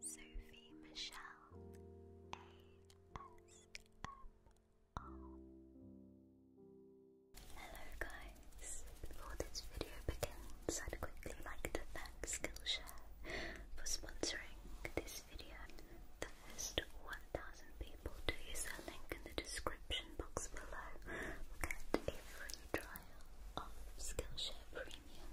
Sophie Michelle ASMR. Hello guys! Before this video begins, I'd quickly like to thank Skillshare for sponsoring this video. The first 1,000 people to use their link in the description box below get a free trial of Skillshare Premium.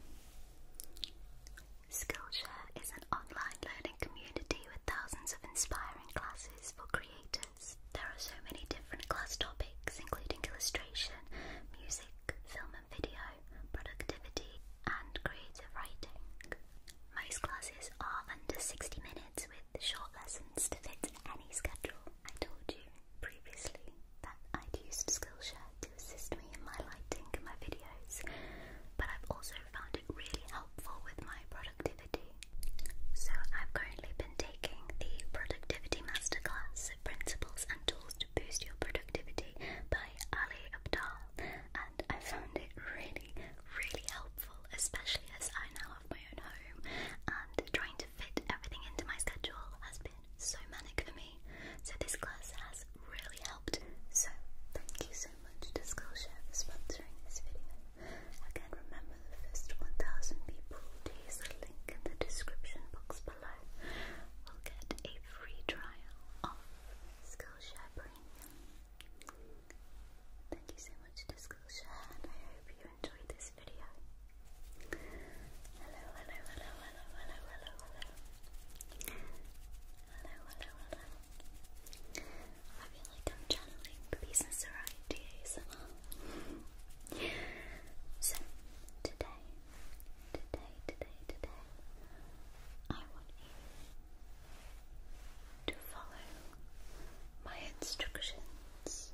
Skillshare is an online learning community with thousands of inspiring classes for creators. There are so many different class topics, including illustration, music, film and video, productivity, and creative writing. Most classes are under 60 minutes with short lessons to fit any schedule. I told you previously that I'd used Skillshare assist me in my lighting and my videos, but I've also found it really helpful with my productivity. So I've currently been taking the Productivity Masterclass Principles and Tools to Boost Your Productivity by Ali Abdal, and I found it really, really helpful, especially as I now have my own home and trying to fit everything into my schedule has been so manic for me. So this class has really helped. So thank you so much Disclosure for sponsoring this video. Again, remember the first 1,000 people to use the link in the description box below will get a free trial of Skillshare Premium. Thank you so much to Skillshare and I hope you enjoyed this video hello, hello, hello, hello, hello, hello. Hello, hello, hello. I feel like I'm channeling pieces around ASMR. so, today, today, today, today, I want you to follow my instructions.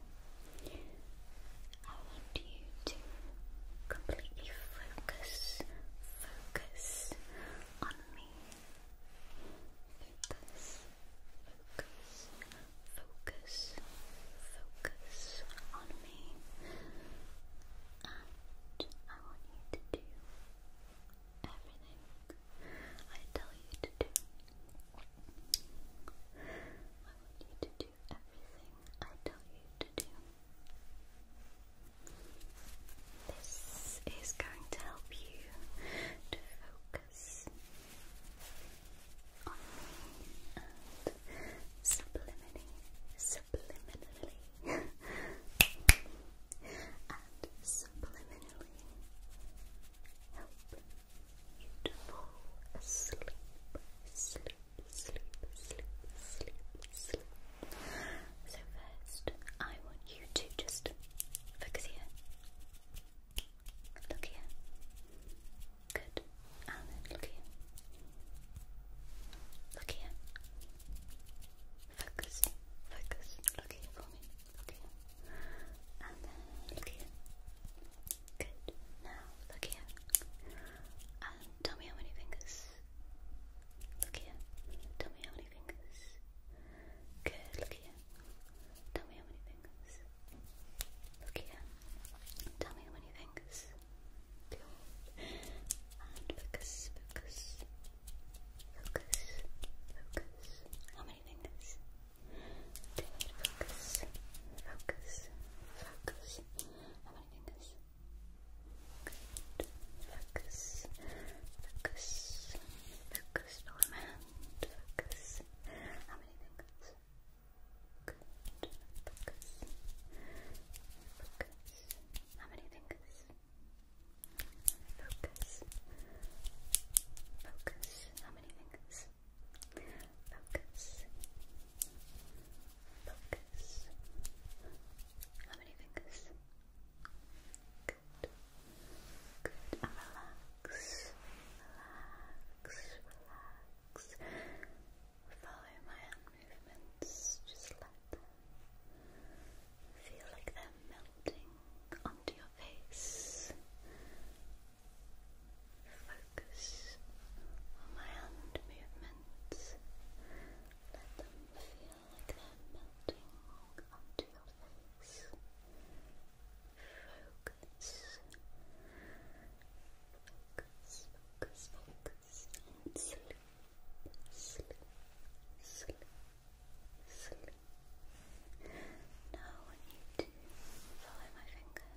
I want you to completely focus, focus on me. Focus, focus, focus, focus on me. I want you to do everything I tell you to do. I want you to do do everything I tell you to do. This is going to help you to focus subliminally, subliminally, and subliminally help you to fall asleep, sleep, sleep, So first, I want you to just focus here. Look here. Good. And look here. Look here. Focus, focus. Look here for me. Look And look here. Good. Now look here. And Tell me how many fingers. Look here. Tell me how many fingers. Good. Look here. Tell me how many fingers. Look here. Tell me how many fingers. Good. focus, focus, focus, focus. How many fingers? Focus, focus, focus fingers. Good. Focus. Focus. Focus on my hand. Focus. How many fingers? Focus. Focus. How many fingers? Focus. Focus. How many fingers? Focus. Focus. How many fingers? Good. Good. relax. Relax. Relax. Follow my hand movements. Just let them feel like they're melting onto your face. Focus on my hand movements. Let them feel like melting onto your face. Focus. Focus, focus, focus, sleep, sleep, sleep, sleep. Now I want you to follow my finger.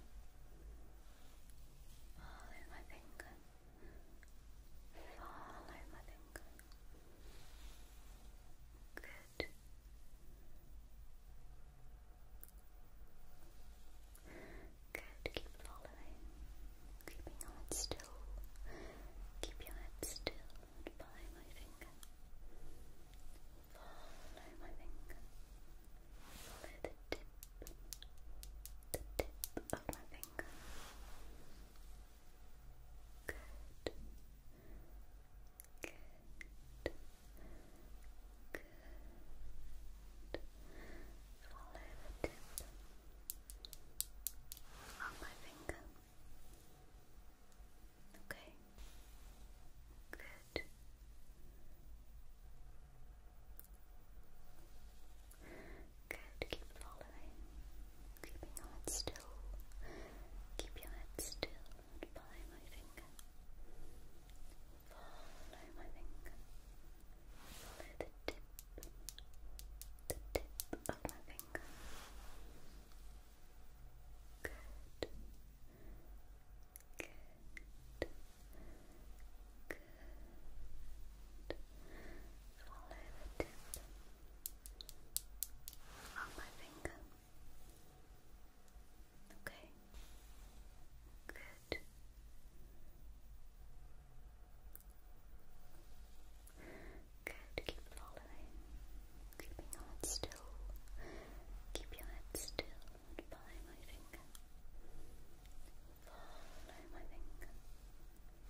Follow my finger. Follow my finger. Good. Good. Keep following. Keeping your head still. Keep your head still follow my finger. Follow my finger. Follow the tip the tip of my finger. Good. Good. Good. Follow the tip of my finger. Okay. Good. Good, keep following. Keeping your head still. Keep your head still follow my finger. Follow my finger. Follow the tip. The tip of my finger. Good. Good. Good. Follow the tip of my finger. Okay. Good. Good. Keep following. Keeping your head still. Keep your head still and follow my finger. Follow my finger.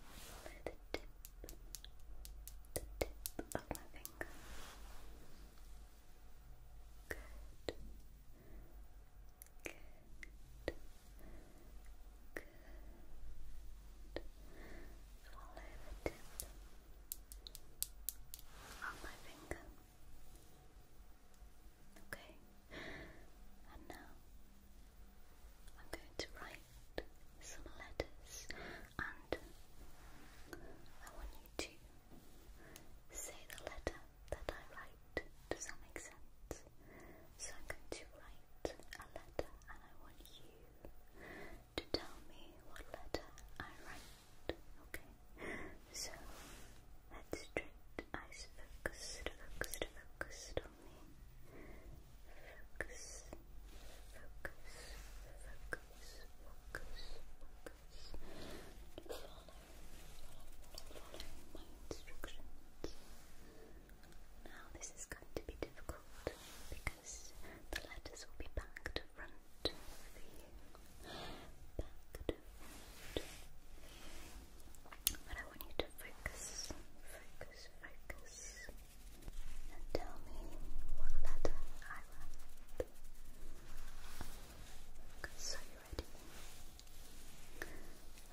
Follow the tip, the tip of my finger. Good. Good. Good. Follow the tip of my finger. Okay, and now I'm going to write some letters, and I want you to say the letter that I write. Does that make sense? So I'm going to write a letter, and I want you to tell me what letter I write. Okay. So let's try eyes focused, focused, focused on me. Focus, focus, focus, focus, focus. Follow, my instructions. Now this is going to be difficult because the letters will be back front for you. But I want you to focus, focus, focus, and tell me what letter I wrote. So you ready?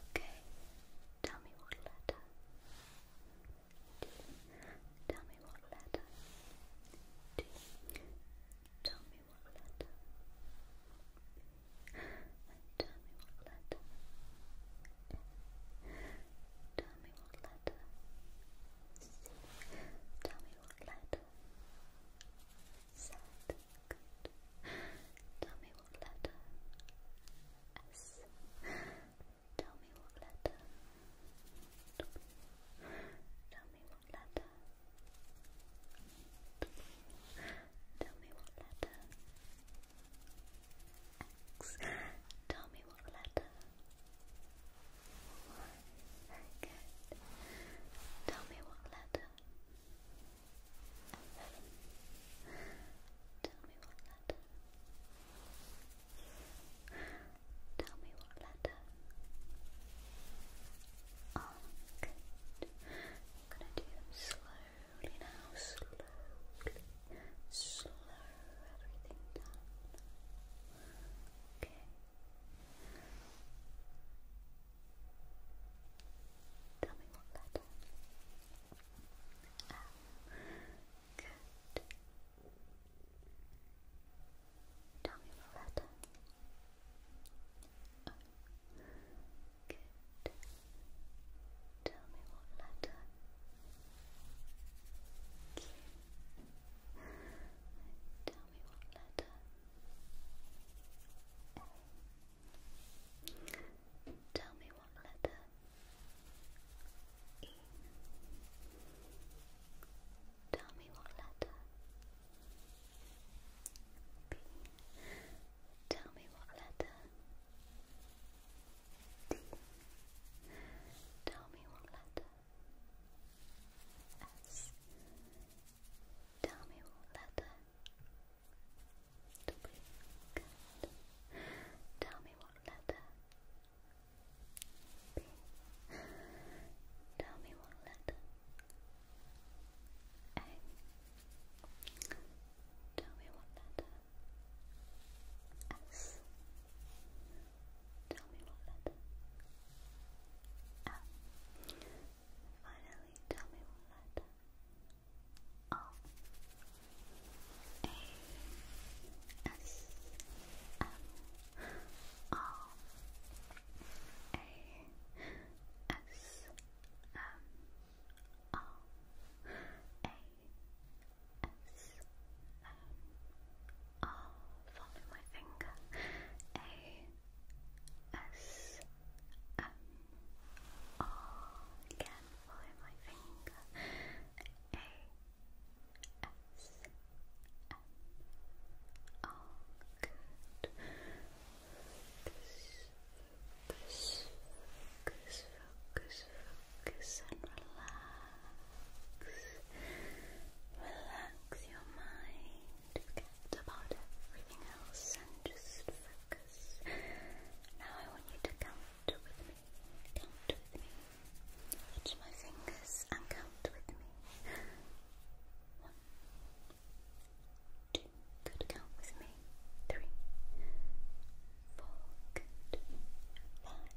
Okay. Tell me what letter. Tell me what letter. Tell me letter. Tell me what letter. Tell me what letter. C. Tell me what letter. Z. Tell me what letter. S. Tell me what letter. Tell me what letter. Tell me what letter. X. Tell me what letter. Y. Very good. Tell me what letter. F. Tell me what letter. Tell me what letter. I'm gonna do slowly now, slowly. Slow everything down. Okay. Tell me what letter. good. Tell me what letter. Good. Tell me what letter. Tell me what letter. Tell me what letter. E. Tell me what letter. B. Tell me what letter. D. Tell me what letter. S. Tell me what letter. W. Tell me what letter. B. Tell me what letter. A. Tell me what letter. S. Tell me what letter. M. Finally, tell me what letter. O. A. S. M. O. A. S M R A S M R. Follow my finger. A S M R. Again, follow my finger. A S M R. Good focus, focus, focus, focus and relax. Relax your mind. Forget about everything else and just focus. Now I want you to count with me. Count with me. Touch my fingers and count with me. One, two, good, count with me, three, four, good, five,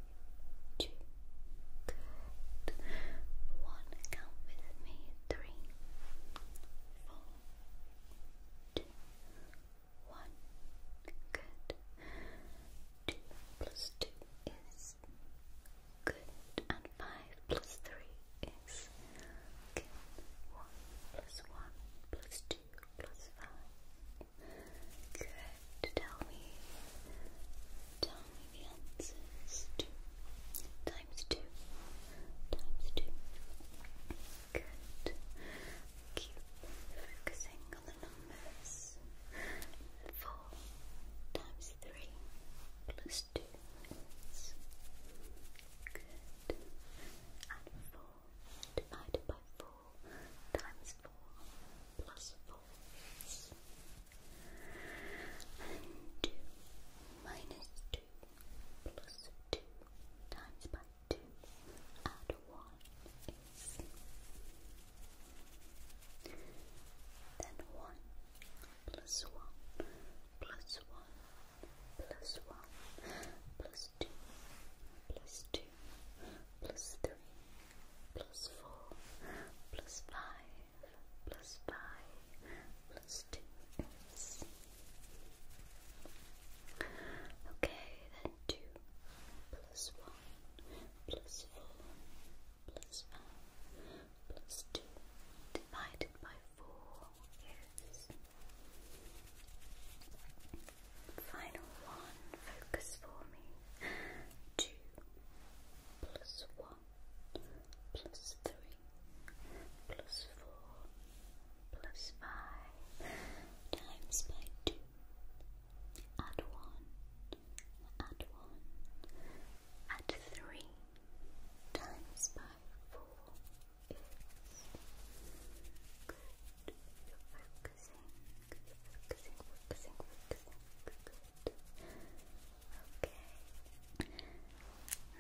two, good, one, count with me, three, four, two, one, good, two plus two is good, and 5 plus 3 is 1 plus 1 plus 2 plus 5, good, tell me, tell me the answers, 2 times 2, times 2, good, keep focusing on the numbers, 4 times 3 plus students. Good. And four divided by four times four plus four is two minus two plus two times by two add one is. Then one plus one, plus one, plus one, plus two, plus two, plus three, plus four, plus five, plus five, plus two. Oops. Okay, then two, plus one, plus four, plus five plus 2 divided by 4 is final one. Focus for me. 2 plus 1 plus 3 plus 4 plus 5 times by 2. Add 1. Add 1. Add 3 times by 4 is good. You're focusing, you're focusing, focusing, focusing. Okay.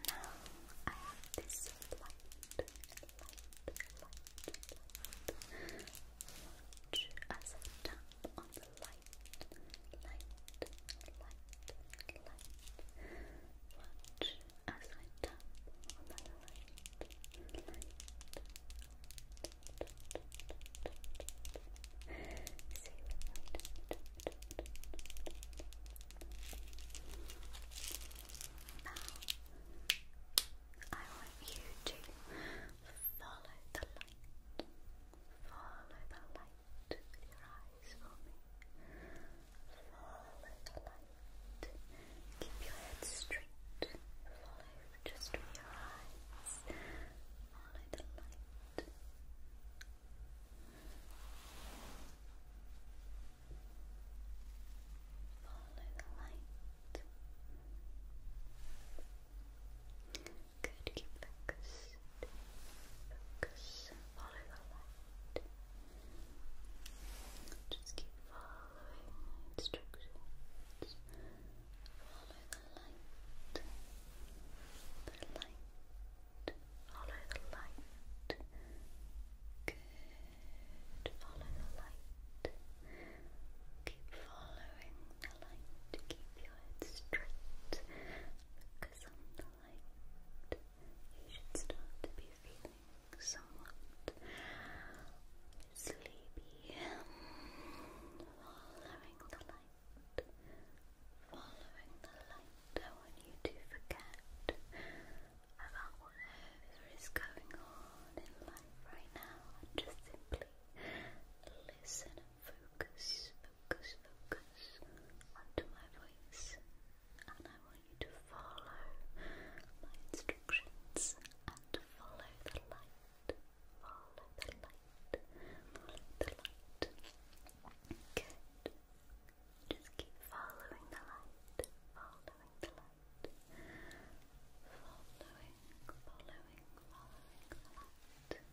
Now I have this light, light, light, light. Watch as I tap on the light light, light, watch as I tap on light, light see what now, I want you to follow the light, follow the light your eyes Follow the light. Keep your head straight. Follow just with your eyes. Follow the light. Follow the light. Good, keep focus. Focus and follow the light. Just keep following my instructions. Follow the light. The light. Follow the light. Good. Follow the light. Keep following the light. Keep your head straight light, you should start to be feeling somewhat sleepy. Following the light, following the light. I want you to forget about whatever is going on in life right now and just simply listen Focus, focus, focus onto my voice, and I want you to follow my instructions and follow the light. Follow the light. the light. Good. Just keep following the light. Following the light. Following, following, following the light.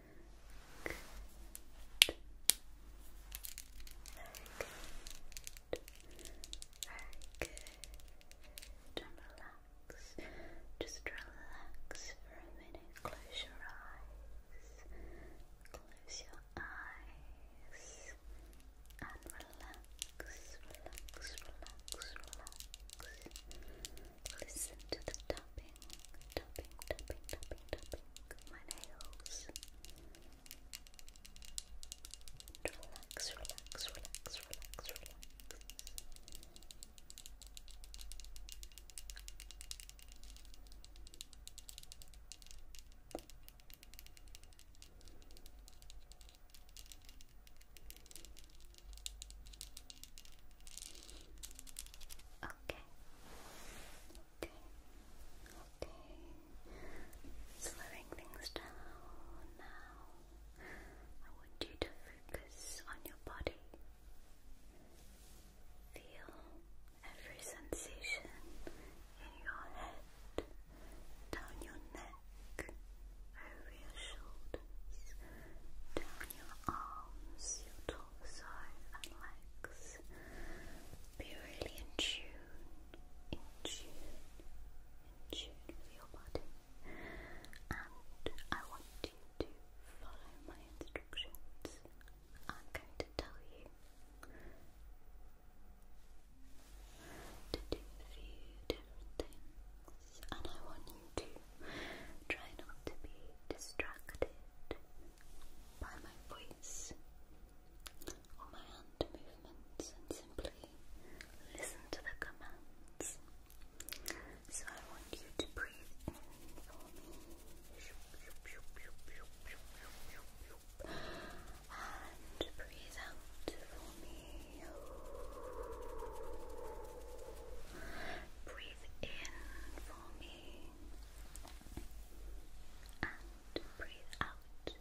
Good. Very And relax. Just relax for a minute. Close your eyes. Close your eyes. And relax, relax, relax, relax. Listen to the tapping tapping, tapping, tapping, tapping my nails. And relax, relax, relax, relax, relax. Okay. Okay. Okay. Slowing things down now. I want you to focus on your body. Feel every sensation in your head, down your neck, over your shoulders, down your arms, your torso torso and legs. Be really in tune, in tune, in tune with your body. And I want you to follow my instructions. I'm going to tell you to do a few different things, and I want you to try not to be distracted by my voice or my hand movements and simply listen to the commands. So I want you to breathe for me and breathe out for me. Breathe in for me and breathe out. Good.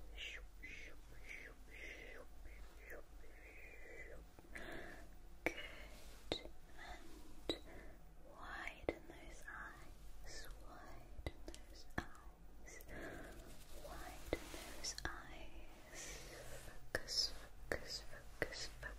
And widen those eyes. Widen those eyes. Widen those eyes. Focus, focus, focus, focus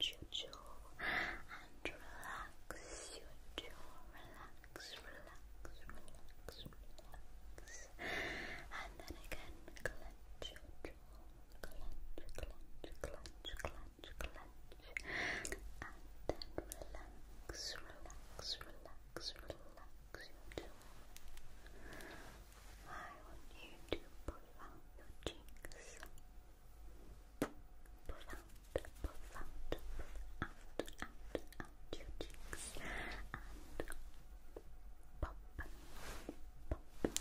your jaw and relax your jaw. Relax, relax, relax, relax. And then again, clench your jaw. Clench, clench, clench, clench, clench. And then relax, relax, relax, relax your jaw. I want you to pull out your cheeks. Pull out, pull out, pull out, out, out your cheeks and pop, pop your cheeks, pop, pop, pop, pop your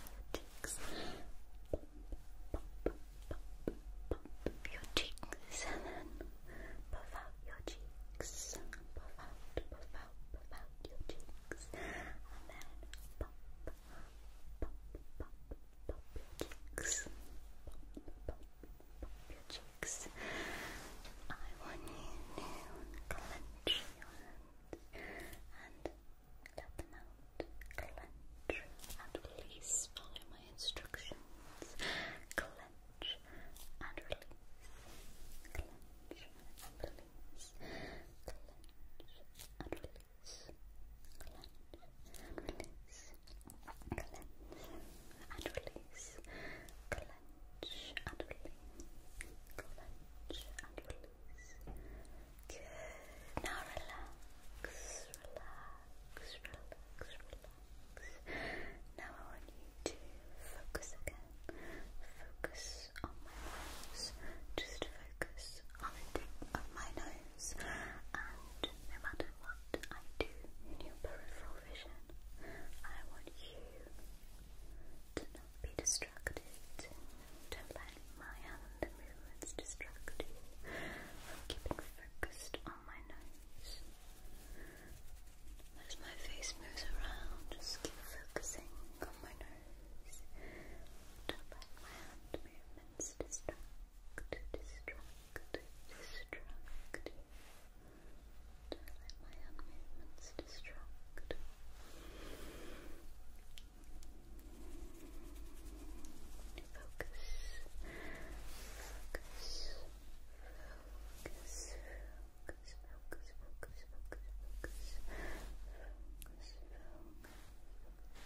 cheeks, and then puff out your cheeks, puff out, puff out, puff out your cheeks, and then your cheeks. your cheeks. I want you to clench and let out. Clench and release. Follow my instructions. Clench and release. Clench and release. Clench and release release, clench and release, clench and release, clench and release. Good. Now relax, relax, relax, relax. Now I want you to focus again. Focus on my nose. Just focus on the tip of my nose and no matter what I do in your peripheral vision, I want you to not be distracted. do let my hand movements distract you from keeping focused on my nose. As my face moves around, just keep focusing on my nose. do let my hand movements distract distract, distract you. Don't let my hand movements distract. focus, focus, focus, focus, focus, focus, focus, focus, focus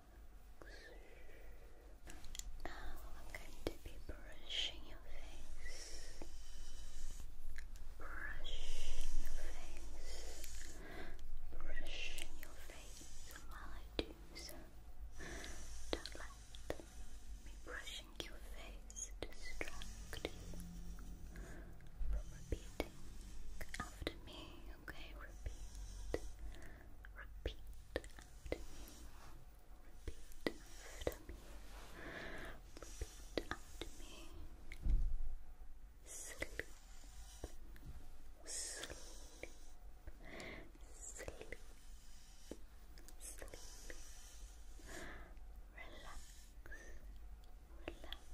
Now I'm going to be brushing your face. Brushing your face. Brushing your face while I do so. Don't let me brushing your face distract you from repeating after me okay? Repeat. Repeat after me. Repeat after me. Repeat after me. Sleep. Sleep. Sleep. Sleep. Relax. Relax.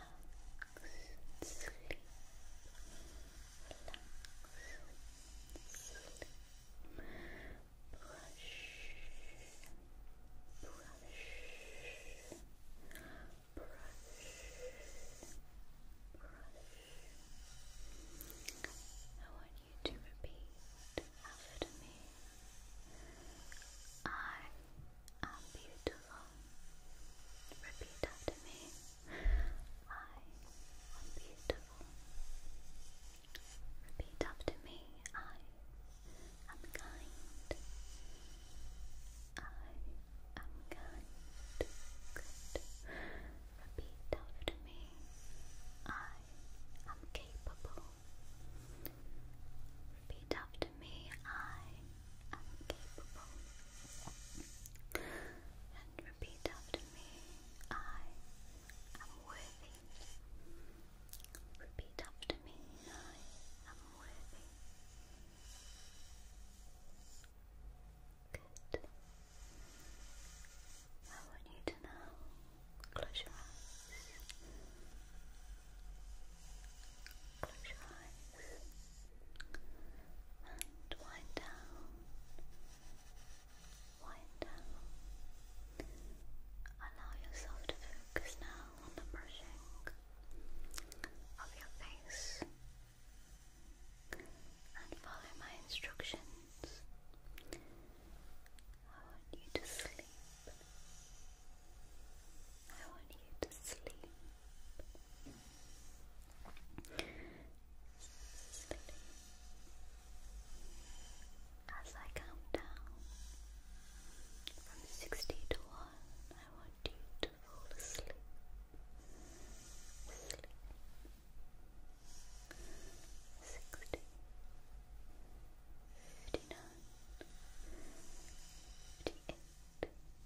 relax, I want you to repeat after me. I am beautiful. Repeat after me. I am beautiful. Repeat after me. I am kind. I am kind. Good. Repeat after me. I am capable. Repeat after me. I am capable. And repeat after me I am worthy. Repeat after me I am worthy. Good. I want you to now close your eyes. Close your eyes and wind down, wind down. Allow yourself to focus now on the brushing of your face and follow my instructions. I want you to sleep. I want you to sleep. Sleep. As I count down from 60 to 1, I want you to fall asleep. Sleep. 60, 59, 58,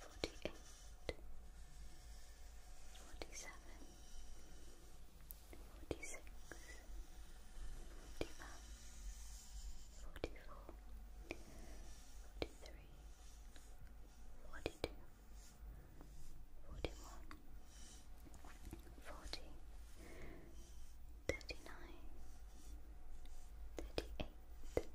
forty-eight, forty-seven, forty-six, forty-five, forty-four, forty-three, forty-two, forty-one, forty, thirty-nine, thirty-eight. 48,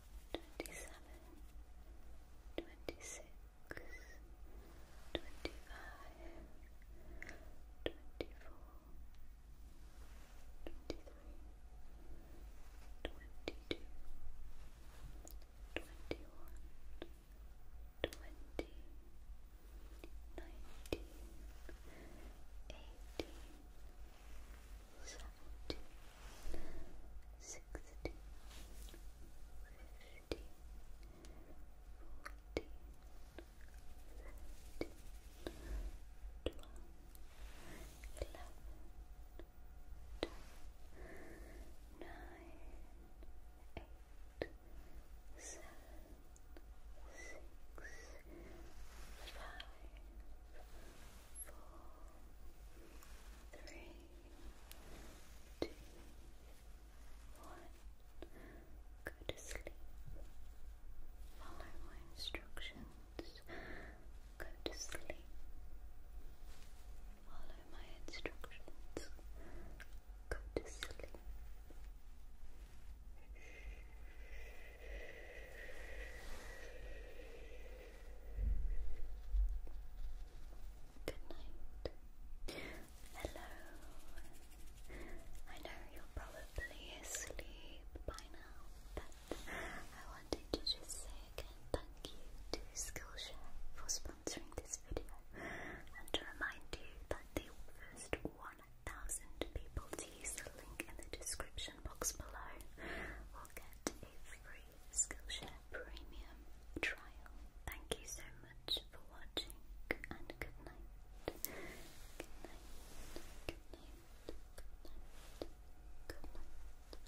twenty-seven, twenty-six, twenty-five, twenty-four, twenty-three, twenty-two, twenty-one, twenty, nineteen, eighteen, seventeen sixteen, fifteen, fourteen, thirteen, twelve, eleven, ten, nine, eight, seven, six, five, four, three two, Go to sleep. Follow my instructions. Go to sleep. Follow my instructions. Go to sleep. Good night. Hello. I know you're probably asleep by now, but I wanted to just say again thank you to Skillshare for sponsoring this video and to remind you that the first 1,000 people to use the link in the description box below will get a free Skillshare premium trial. Thank you so much for watching and good night. Good night. Good night. Good night. Good night.